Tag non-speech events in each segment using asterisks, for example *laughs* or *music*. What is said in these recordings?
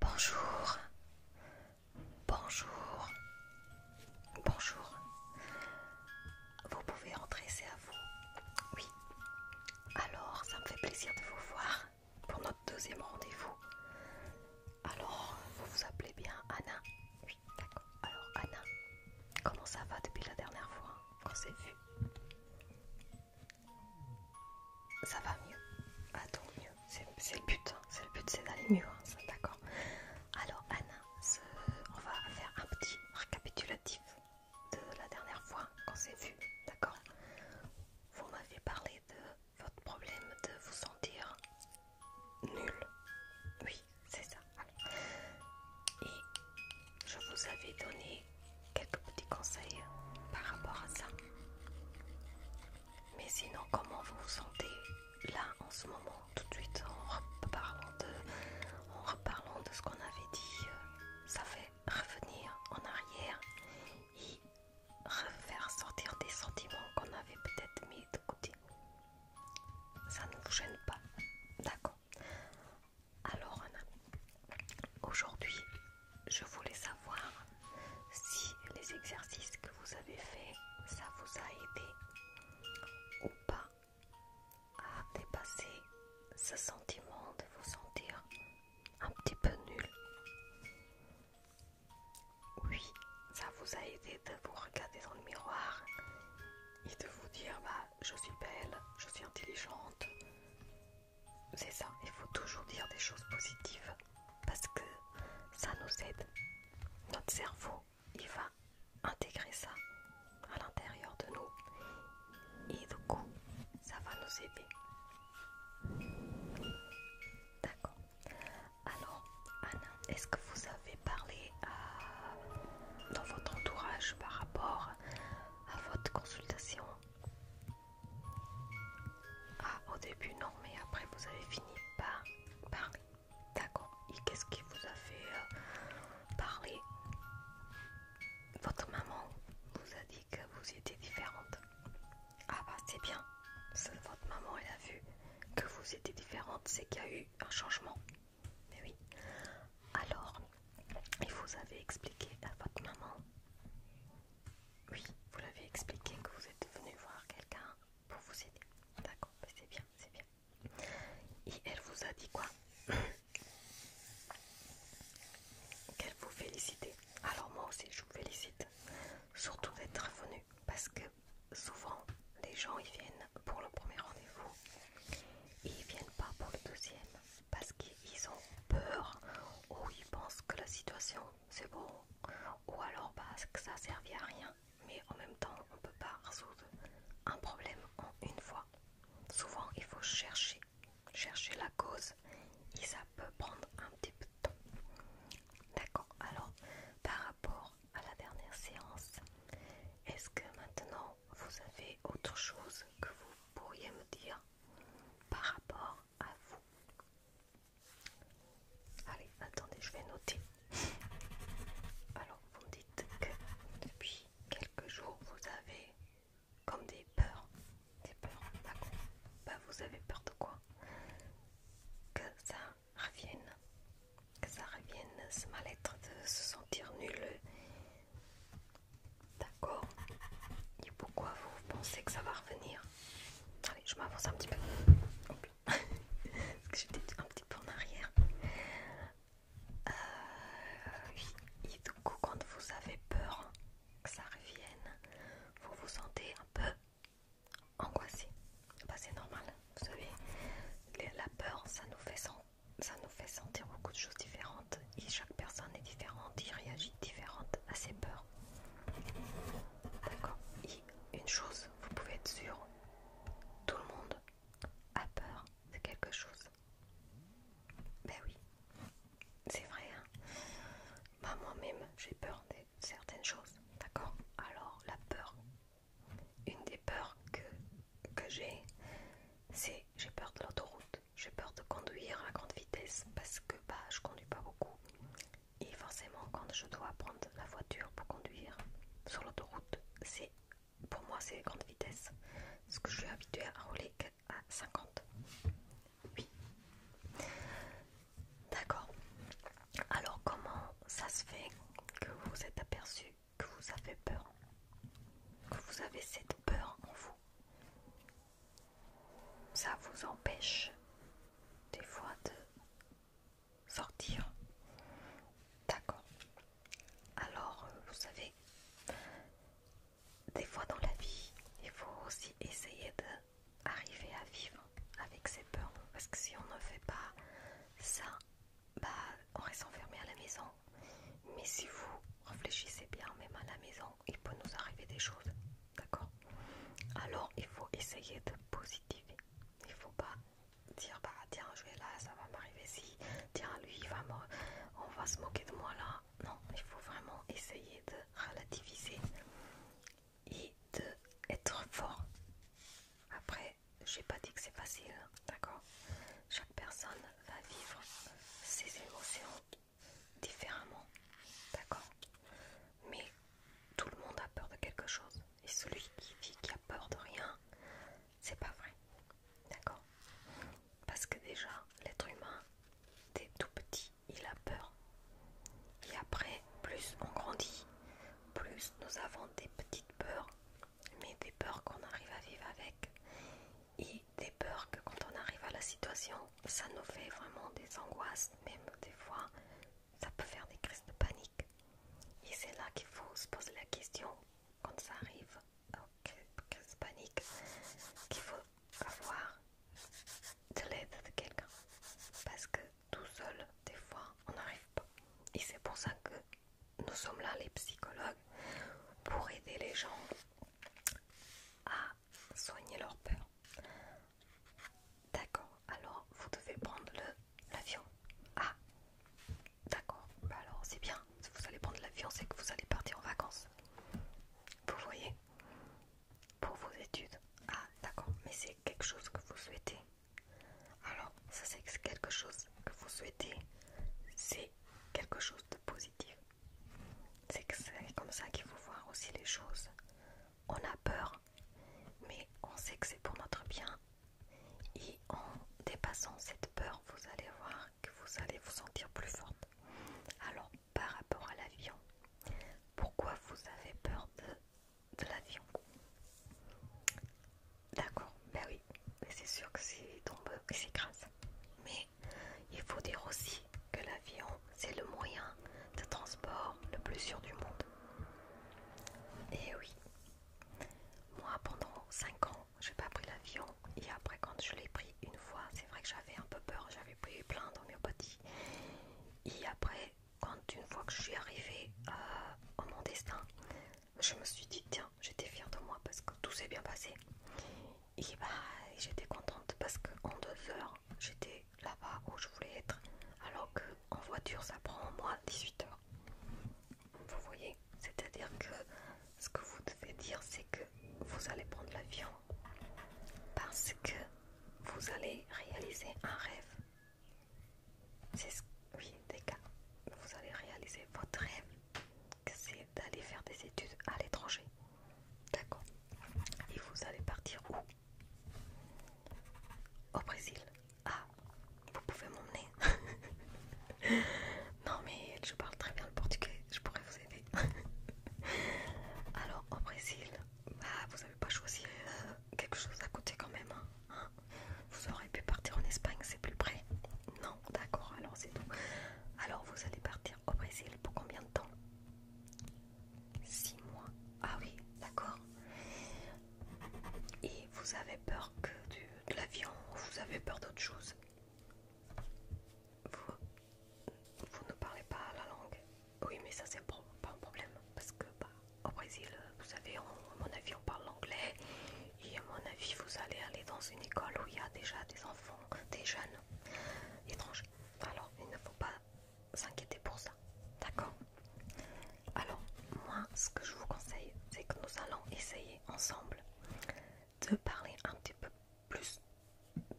Bonjour. Bonjour. Bonjour. Vous pouvez entrer, c'est à vous. Oui. Alors, ça me fait plaisir de vous voir pour notre deuxième rendez-vous. Alors, vous vous appelez bien Anna Oui, d'accord. Alors, Anna, comment ça va depuis la dernière fois qu'on s'est vu ça va mieux. tout mieux. C'est le but. Hein. C'est le but, c'est d'aller mieux. Hein. D'accord. Alors, Anna, on va faire un petit récapitulatif de la dernière fois qu'on s'est vu. D'accord Vous m'avez parlé de votre problème de vous sentir nul. Oui, c'est ça. Et je vous avais donné quelques petits conseils par rapport à ça. Mais sinon, comment vous vous sentez là en ce moment, tout de suite, en reparlant de, en de ce qu'on avait dit euh, Ça fait revenir en arrière et refaire sortir des sentiments qu'on avait peut-être mis de côté. Ça ne vous gêne pas D'accord. Alors, Anna, Aujourd'hui, je voulais savoir si les exercices que vous avez faits, ça vous a aidé ou pas à dépasser ce sentiment de vous sentir un petit peu nul. Oui, ça vous a aidé de vous regarder dans le miroir et de vous dire bah je suis belle, je suis intelligente, c'est ça, il faut toujours dire des choses positives parce que ça nous aide. Notre cerveau, il va intégrer ça à l'intérieur de nous et du coup, ça va nous aider. D'accord. Alors, Anna, est-ce que vous avez parlé dans votre entourage par rapport à votre consultation ah, au début, non, mais après, vous avez fini par parler. D'accord. Et qu'est-ce qui vous a fait euh, parler Votre maman vous a dit que vous étiez différente. Ah bah, c'est bien. Votre maman, elle a vu que vous étiez différente. C'est qu'il y a eu un changement. Mais oui. Alors, il vous avez expliqué à votre maman oui, vous l'avez expliqué que vous êtes venu voir quelqu'un pour vous aider. D'accord, c'est bien, c'est bien. Et elle vous a dit quoi *coughs* Qu'elle vous félicitait. Alors moi aussi, je vous félicite. Surtout d'être venu. Parce que souvent, les gens, ils viennent pour le premier rendez-vous. Et ils viennent pas pour le deuxième. Parce ils ont peur, ou ils pensent que la situation c'est bon, ou alors parce que ça servait à rien. Mais en même temps, on ne peut pas résoudre un problème en une fois. Souvent, il faut chercher, chercher la cause, et ça peut prendre un petit peu de temps. D'accord. Alors, par rapport à la dernière séance, est-ce que maintenant vous avez autre chose que vous pourriez me dire par rapport à vous. Allez, attendez, je vais noter. Alors, vous me dites que depuis quelques jours, vous avez comme des peurs. Des peurs, d'accord. Bah, vous avez peur de quoi Que ça revienne. Que ça revienne, ce mal-être de se sentir nul. D'accord. Et pourquoi vous pensez que ça va revenir Allez, je m'avance un petit peu. *laughs* Parce que j'étais un petit peu en arrière. Euh, Et du coup, quand vous avez peur que ça revienne, vous vous sentez un peu angoissé. Bah, c'est normal. Vous savez, la peur, ça nous fait sentir beaucoup de choses différentes et chaque personne est différente il réagit différente à ses peurs. D'accord Et une chose, vous pouvez être sûr, tout le monde a peur de quelque chose. Ben oui, c'est vrai. Hein bah, Moi-même, j'ai peur de certaines choses. D'accord Alors, la peur, une des peurs que, que j'ai, c'est j'ai peur de l'autoroute. J'ai peur de conduire à grande vitesse parce que bah, je conduis pas beaucoup. Et forcément, quand je dois prendre la voiture pour conduire sur l'autoroute, c'est pour moi c'est grande vitesse. Parce que je suis habituée à rouler à 50. Oui. D'accord. Alors comment ça se fait que vous vous êtes aperçu que vous avez peur Que vous avez cette peur en vous ça vous empêche des fois de sortir. D'accord. Alors, euh, vous savez, des fois dans la vie, il faut aussi essayer d'arriver à vivre avec ses peurs. Parce que si on ne fait pas ça, bah, on reste enfermé à la maison mais si vous réfléchissez bien, même à la maison, il peut nous arriver des choses, d'accord Alors il faut essayer de positiver. Il ne faut pas dire bah tiens je vais là, ça va m'arriver si, tiens lui il va on va se moquer de moi là. Non, il faut vraiment essayer de relativiser et d'être fort. Après, je n'ai pas dit que c'est facile, d'accord chaque personne va vivre ses émotions différemment, d'accord Mais tout le monde a peur de quelque chose. Et celui qui dit qu'il a peur de rien, c'est pas vrai, d'accord Parce que déjà, l'être humain, dès tout petit, il a peur. Et après, plus on grandit, plus nous avons des petites peurs, mais des peurs qu'on arrive à vivre avec et des peurs que quand on arrive à la situation, ça nous fait vraiment des angoisses, même des fois, ça peut faire des crises de panique. Et c'est là qu'il faut se poser la question, quand ça arrive crises de panique, qu'il faut avoir de l'aide de quelqu'un. Parce que tout seul, des fois, on n'arrive pas. Et c'est pour ça que nous sommes là, les psychologues, pour aider les gens à soigner leur peur. D'accord, alors vous devez prendre l'avion. Ah, d'accord, bah alors c'est bien. Si vous allez prendre l'avion, c'est que vous allez partir en vacances. Vous voyez Pour vos études. Ah, d'accord, mais c'est quelque chose que vous souhaitez. Alors, ça c'est quelque chose que vous souhaitez. C'est quelque chose de positif. C'est comme ça qu'il faut voir aussi les choses. On a peur, mais on sait que c'est pour notre bien. Et en dépassant cette peur, vous allez voir que vous allez vous sentir plus forte. Alors, par rapport à l'avion, pourquoi vous avez peur de, l'avion D'accord, ben oui, mais c'est sûr que c'est tombeux et c'est grâce. Mais il faut dire aussi que l'avion, c'est le moyen de transport le plus sûr du monde. Et oui, moi pendant 5 ans, j'ai pas pris l'avion. Et après, quand je l'ai pris une fois, c'est vrai que j'avais un peu peur, j'avais pris plein d'homéopathie. Et après, quand une fois que je suis arrivée euh, à mon destin, je me suis dit, tiens, j'étais fière de moi parce que tout s'est bien passé. Et bah, j'étais contente parce qu'en deux heures, j'étais là-bas où je voulais être. Alors qu'en voiture, ça prend au moins 18 heures. Vous voyez C'est-à-dire que ce que vous devez dire, c'est que vous allez prendre l'avion parce que vous allez réaliser un rêve. C'est ce... Oui, des cas. Vous allez réaliser votre rêve c'est d'aller faire des études à l'étranger. D'accord. Et vous allez partir où Au Brésil. Ah, vous pouvez m'emmener *laughs* Non mais je parle très bien le portugais, je pourrais vous aider. *laughs* Alors au Brésil, bah, vous n'avez pas choisi euh, quelque chose à côté quand même. Hein. Vous aurez pu partir en Espagne, c'est plus près Non, d'accord, alors c'est tout. Alors vous allez partir au Brésil pour combien de temps 6 mois. Ah oui, d'accord. Et vous avez peur que du, de l'avion Vous avez peur d'autre chose vous, vous ne parlez pas la langue Oui, mais ça c'est pas un problème parce que bah, au Brésil euh, vous savez, à mon avis, on parle l'anglais. Et à mon avis, vous allez aller dans une école où il y a déjà des enfants, des jeunes étrangers. Alors, il ne faut pas s'inquiéter pour ça. D'accord Alors, moi, ce que je vous conseille, c'est que nous allons essayer ensemble de parler un petit peu plus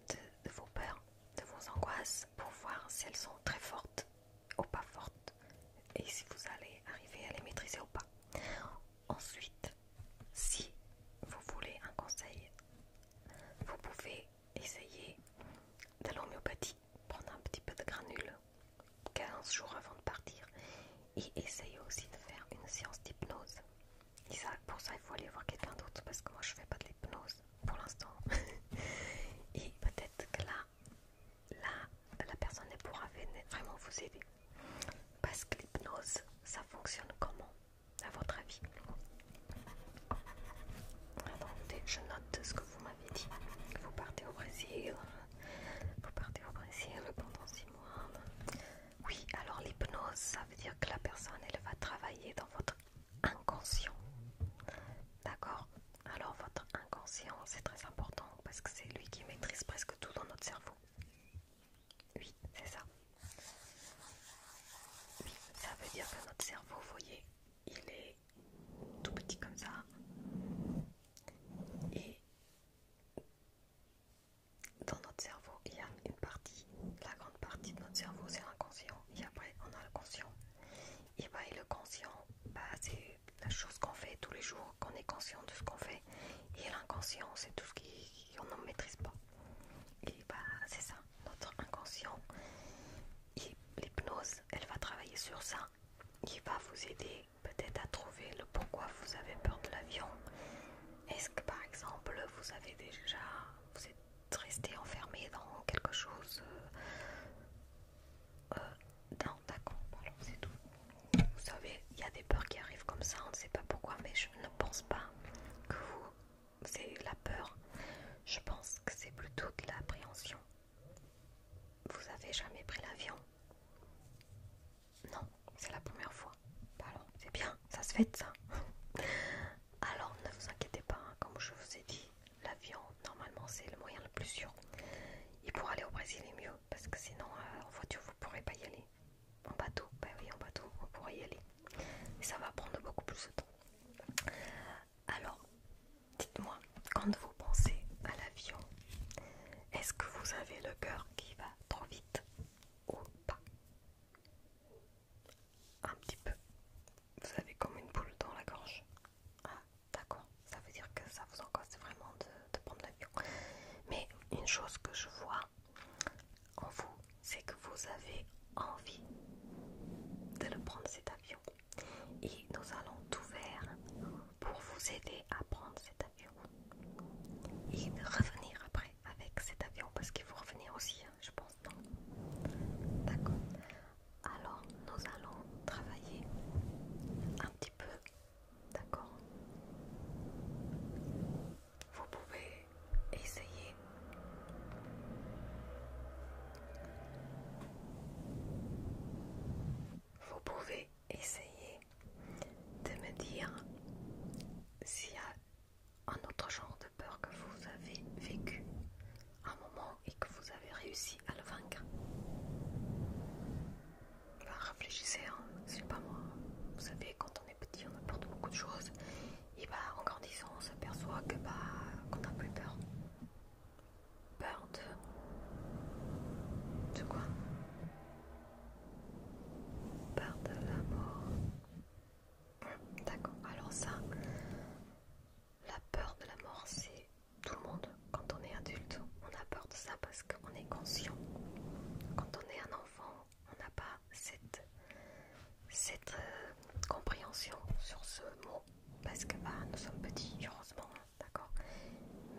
de vos peurs, de vos angoisses, pour voir si elles sont très fortes ou pas fortes et si vous allez arriver à les maîtriser ou pas. Ensuite, si vous voulez un conseil, vous pouvez essayer de l'homéopathie, prendre un petit peu de granules 15 jours avant de partir et essayer aussi de faire une séance d'hypnose. Et ça, pour ça, il faut aller voir quelqu'un d'autre parce que moi je fais pas de l'hypnose pour l'instant. *laughs* et peut-être que là, là, la personne pourra vraiment vous aider. Parce que l'hypnose, ça fonctionne comment, à votre avis je note ce que vous m'avez dit. Vous partez au Brésil. Vous partez au Brésil pendant six mois. Oui, alors l'hypnose, ça veut dire que la personne, elle va travailler dans votre inconscient. D'accord alors votre inconscient, c'est très important parce que c'est lui qui maîtrise presque tout dans notre cerveau. Oui, c'est ça. Oui, ça veut dire que notre cerveau, vous voyez, il est tout petit comme ça. Et dans notre cerveau, il y a une partie, la grande partie de notre cerveau, c'est l'inconscient. Et après, on a le conscient. Et ben, le conscient, bah, c'est la chose qu'on fait tous les jours, qu'on est conscient de ce qu'on fait. Et l'inconscient, c'est tout ce qu'on ne maîtrise pas. Et bah, c'est ça, notre inconscient. L'hypnose, elle va travailler sur ça. Il va vous aider peut-être à trouver le pourquoi vous avez peur de l'avion. Est-ce que par exemple, vous avez déjà, vous êtes resté enfermé dans quelque chose euh, d'un euh, non d'accord c'est tout vous savez il y a des peurs qui arrivent comme ça on ne sait pas pourquoi mais je ne pense pas que vous c'est la peur je pense que c'est plutôt de l'appréhension vous avez jamais pris l'avion non c'est la première fois bah alors c'est bien ça se fait ça *laughs* alors ne vous inquiétez pas hein, comme je vous ai dit l'avion normalement c'est le moyen le plus sûr. Et pour aller au Brésil est mieux, parce que sinon euh, en voiture vous pourrez pas y aller. En bateau, bah oui en bateau vous pourrez y aller. Mais ça va prendre beaucoup plus de temps. Alors, dites-moi, quand vous pensez à l'avion, est-ce que vous avez le cœur qui va trop vite ou pas Un petit peu. Vous avez comme une boule dans la gorge. Ah. D'accord Ça veut dire que ça vous encasse vraiment de, prendre l'avion. Mais une chose que je vois en vous, c'est que vous avez envie de le prendre cet avion. Et nous allons tout faire pour vous aider à prendre cet avion. Et revenir après avec cet avion parce qu'il faut revenir aussi, hein, je pense, non D'accord alors nous allons travailler un petit peu, d'accord Vous pouvez essayer vous pouvez essayer de me dire s'il y a un autre genre de peur que vous avez vécu un moment et que vous avez réussi à le vaincre. réfléchissez, hein, c'est pas moi. Vous savez, quand on est petit, on de beaucoup de choses. Et bah, en grandissant, on s'aperçoit que bah, qu'on n'a plus peur. Peur de. de quoi Peur de la mort. D'accord, alors ça, la peur de la mort, c'est tout le monde, quand on est adulte, on apporte ça parce qu'on est conscient. Quand on est un enfant, on n'a pas cette, euh, compréhension sur ce mot parce que bah, nous sommes petits, heureusement, hein, d'accord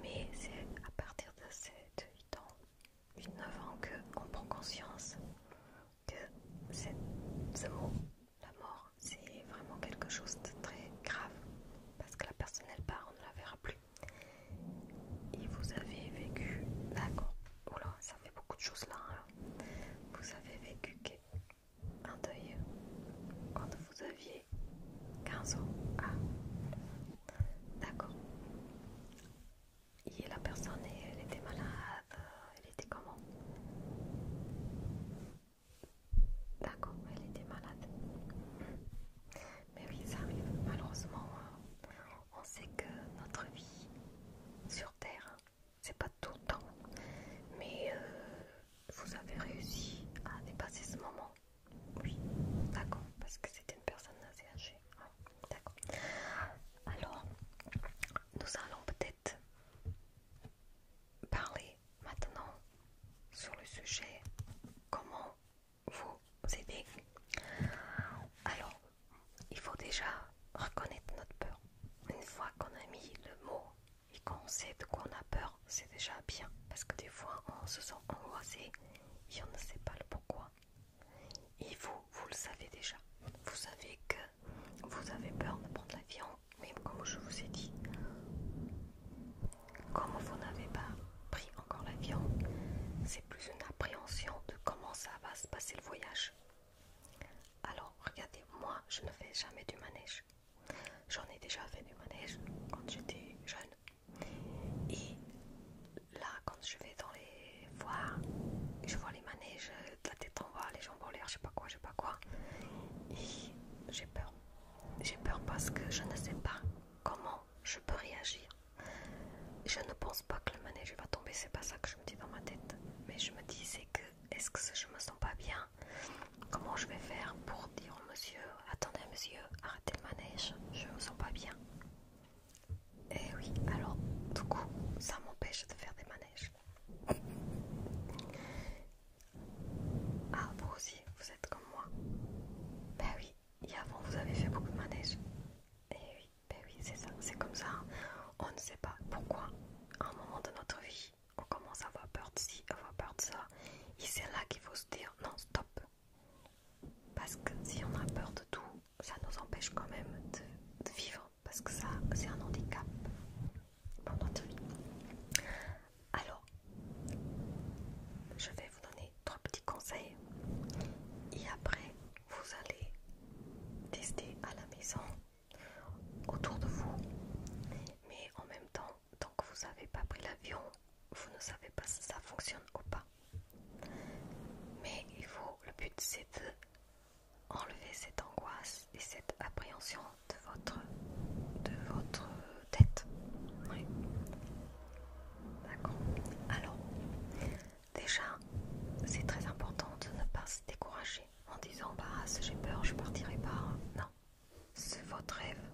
Mais c'est à partir de 7, 8 ans, 8, 9 ans qu'on prend conscience que ce mot la mort, c'est vraiment quelque chose de très grave parce que la personne elle part, on ne la verra plus. Et vous avez vécu, d'accord, oula, ça fait beaucoup de choses là. Hein. Vous avez vécu un deuil quand vous aviez 15 ans. Ah, d'accord. Et la personne, elle était malade, elle était comment D'accord, elle était malade. Mais oui, ça arrive. Malheureusement, euh, on sait que notre vie sur Terre, c'est pas tout le temps. Mais euh, vous avez réussi à dépasser ce moment. Oui, d'accord, parce que c'était une personne assez âgée. Ah, d'accord. Alors, nous allons peut-être parler maintenant sur le sujet comment vous aider. Alors, il faut déjà reconnaître notre peur. Une fois qu'on a mis le mot et qu'on sait de quoi on a peur, c'est déjà bien. Parce que des fois, on se sent angoissé et on ne sait pas le pourquoi. Et vous, vous le savez déjà. Vous savez que vous avez peur de prendre l'avion, même comme je vous ai dit, comme vous n'avez pas pris encore l'avion, c'est plus une appréhension de comment ça va se passer le voyage. Alors, regardez, moi, je ne fais jamais du manège. J'en ai déjà fait du manège quand j'étais jeune. Et là, quand je vais dans les foires, je vois les manèges de la les jambes en l'air, je sais pas quoi, je sais pas quoi. Et j'ai peur. J'ai peur parce que je ne sais pas comment je peux réagir. Je ne pense pas que le manège va tomber, c'est pas ça que je me dis dans ma tête. Mais je me dis, c'est que, est-ce que je me sens pas bien Comment je vais faire pour dire monsieur, attendez monsieur, arrêtez le manège, je me sens pas bien. Et eh oui, alors, du coup, ça m'empêche de faire des manèges. Ah, vous aussi, vous êtes comme moi. Ben oui, et avant vous avez fait beaucoup de manèges. Et eh oui, ben oui, c'est ça, c'est comme ça. Hein. On ne sait pas pourquoi, à un moment de notre vie, on commence à avoir peur de ci, avoir peur de ça. Et c'est là qu'il faut se dire non, stop. Parce que si on a peur de tout, ça nous empêche quand même de vivre parce que ça, c'est un handicap. Pendant notre vie. Alors, je vais vous donner trois petits conseils et après vous allez tester à la maison, autour de vous. Mais en même temps, tant que vous n'avez pas pris l'avion, vous ne savez pas si ça fonctionne ou pas. Mais il faut, le but c'est de Enlever cette angoisse et cette appréhension de votre, de votre tête. D'accord. Alors, déjà, c'est très important de ne pas se décourager en disant bah j'ai peur, je partirai pas. Non, c'est votre rêve,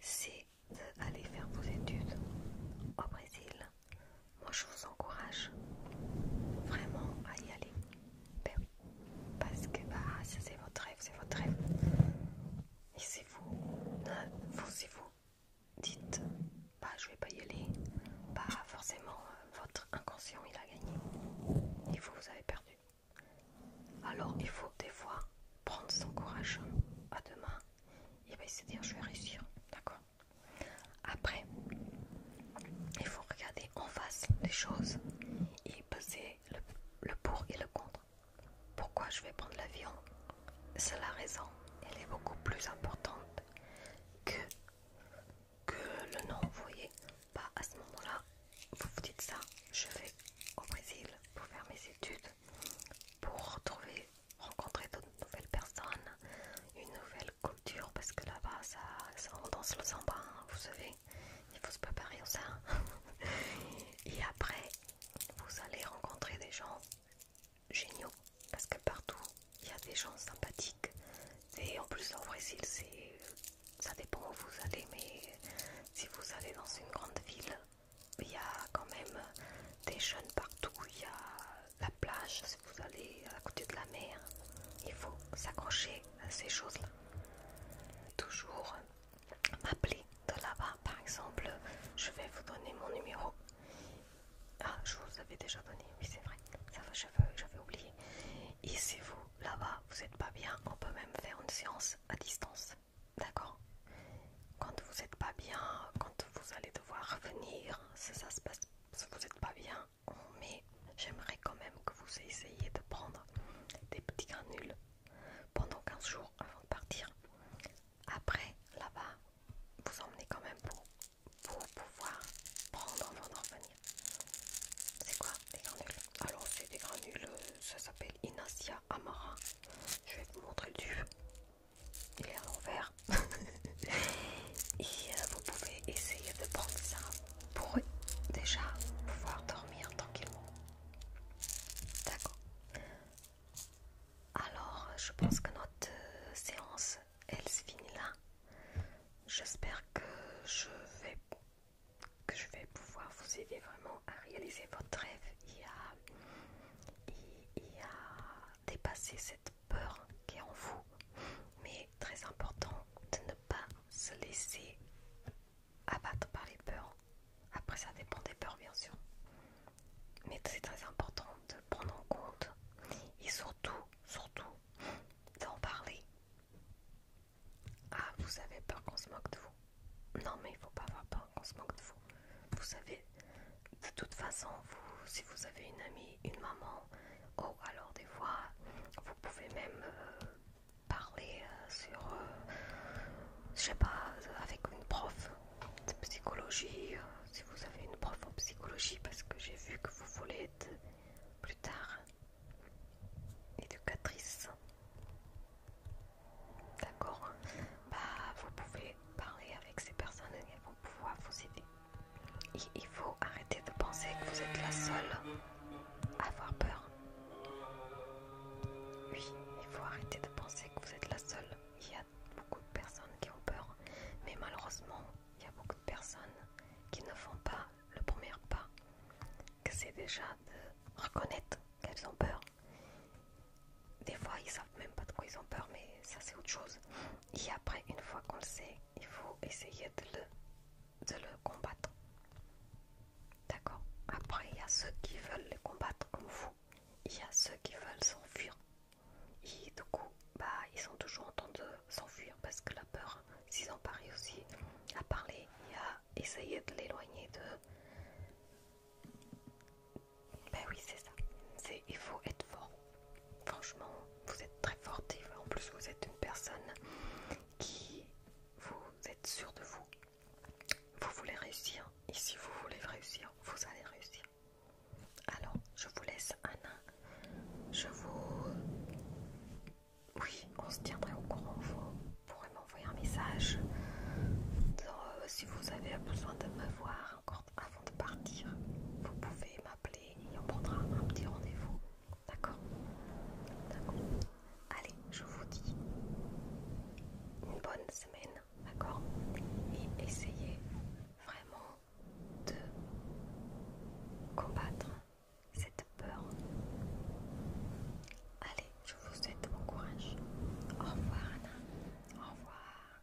c'est d'aller faire vos études au Brésil. Moi, je vous encourage vraiment à y aller. Ben parce que bah, c'est votre rêve, c'est votre rêve. Et si vous, hein, vous, vous dites, bah je vais pas y aller, bah, forcément euh, votre inconscient il a gagné et vous vous avez perdu. Alors il faut des fois prendre son courage hein, à demain, mains et essayer, bah, se dire je vais réussir, d'accord. Après, il faut regarder en face des choses et peser le, pour et le contre. Pourquoi je vais prendre l'avion C'est la raison. Elle est beaucoup plus importante que, le nom. Vous voyez, à ce moment-là, vous vous dites ça. Je vais au Brésil pour faire mes études, pour retrouver, rencontrer d'autres nouvelles personnes, une nouvelle culture parce que là-bas ça, ça on danse le samba, hein, vous savez, il faut se préparer au ça. *laughs* Et après, vous allez rencontrer des gens géniaux parce que partout il y a des gens sympathiques. Et en plus au Brésil, ça dépend où vous allez, mais si vous allez dans une grande ville, il y a quand même des jeunes partout, il y a plage, si vous allez à côté de la mer, il faut s'accrocher à ces choses-là. Toujours m'appeler de là-bas, par exemple, je vais vous donner mon numéro. Ah, je vous avais déjà donné, oui c'est vrai, ça va, j'avais oublié. Et si vous, là-bas, vous n'êtes pas bien, on peut même faire une séance à distance, d'accord Quand vous n'êtes pas bien, quand vous allez devoir revenir, si ça se passe, si vous n'êtes pas bien, Oh, mais j'aimerais quand même que vous essayiez de prendre des petits granules pendant 15 jours avant de partir. Après, là-bas, vous emmenez quand même pour, pour pouvoir prendre avant d'en C'est quoi des granules Alors, c'est des granules, euh, ça s'appelle Inacia Amara. Je vais vous montrer le tube. Il est à l'envers. *laughs* Et euh, vous pouvez essayer de prendre ça pour déjà pouvoir dormir tranquillement. D'accord. Alors, je pense que notre euh, séance, elle se finit là. J'espère que je vais que je vais pouvoir vous aider vraiment à réaliser votre rêve y il dépasser cette peur qui est en vous. Mais très important de ne pas se laisser abattre par les peurs. Après, ça dépend des peurs, bien sûr. Mais c'est très important de prendre en compte et surtout, surtout, d'en parler. Ah, vous avez peur qu'on se moque de vous. Non, mais il faut pas avoir peur qu'on se moque de vous. Vous savez, de toute façon, vous, si vous avez une amie une maman, ou alors des fois vous pouvez même euh, parler euh, sur, euh, je sais pas, avec une prof de psychologie, si vous avez une prof en psychologie, parce que j'ai vu que vous voulez être plus tard éducatrice. D'accord Bah vous pouvez parler avec ces personnes et elles vont pouvoir vous aider. Il faut arrêter de penser que vous êtes la seule à avoir peur. Oui, il faut arrêter de penser que vous êtes la seule. Il y a beaucoup de personnes qui ont peur, mais malheureusement, il y a beaucoup de personnes qui ne font pas le premier pas, que c'est déjà de reconnaître qu'elles ont peur. Des fois, ils savent même pas de quoi ils ont peur, mais ça c'est autre chose. Et après, une fois qu'on le sait, il faut essayer de le, de le combattre. D'accord Après, il y a ceux qui veulent les combattre comme vous. Il y a ceux qui veulent s'enfuir. Et du coup, bah, ils sont toujours en train de s'enfuir parce que la peur s'ils ont aussi à parler y a essayer de l'éloigner de... Ben oui, c'est ça. Il faut être fort. Franchement, vous êtes très forte en plus vous êtes une personne qui vous êtes sûre de vous. Vous voulez réussir et si vous voulez réussir, vous allez réussir. Alors, je vous laisse Anna. Je vous... Oui, on se tiendrait au courant. Vous pourrez m'envoyer un message. Euh, si vous avez besoin de me voir encore avant de partir, vous pouvez m'appeler et on prendra un petit rendez-vous. D'accord D'accord. Allez, je vous dis une bonne semaine, d'accord Et essayez vraiment de combattre cette peur. Allez, je vous souhaite bon courage. Au revoir Anna. Au revoir.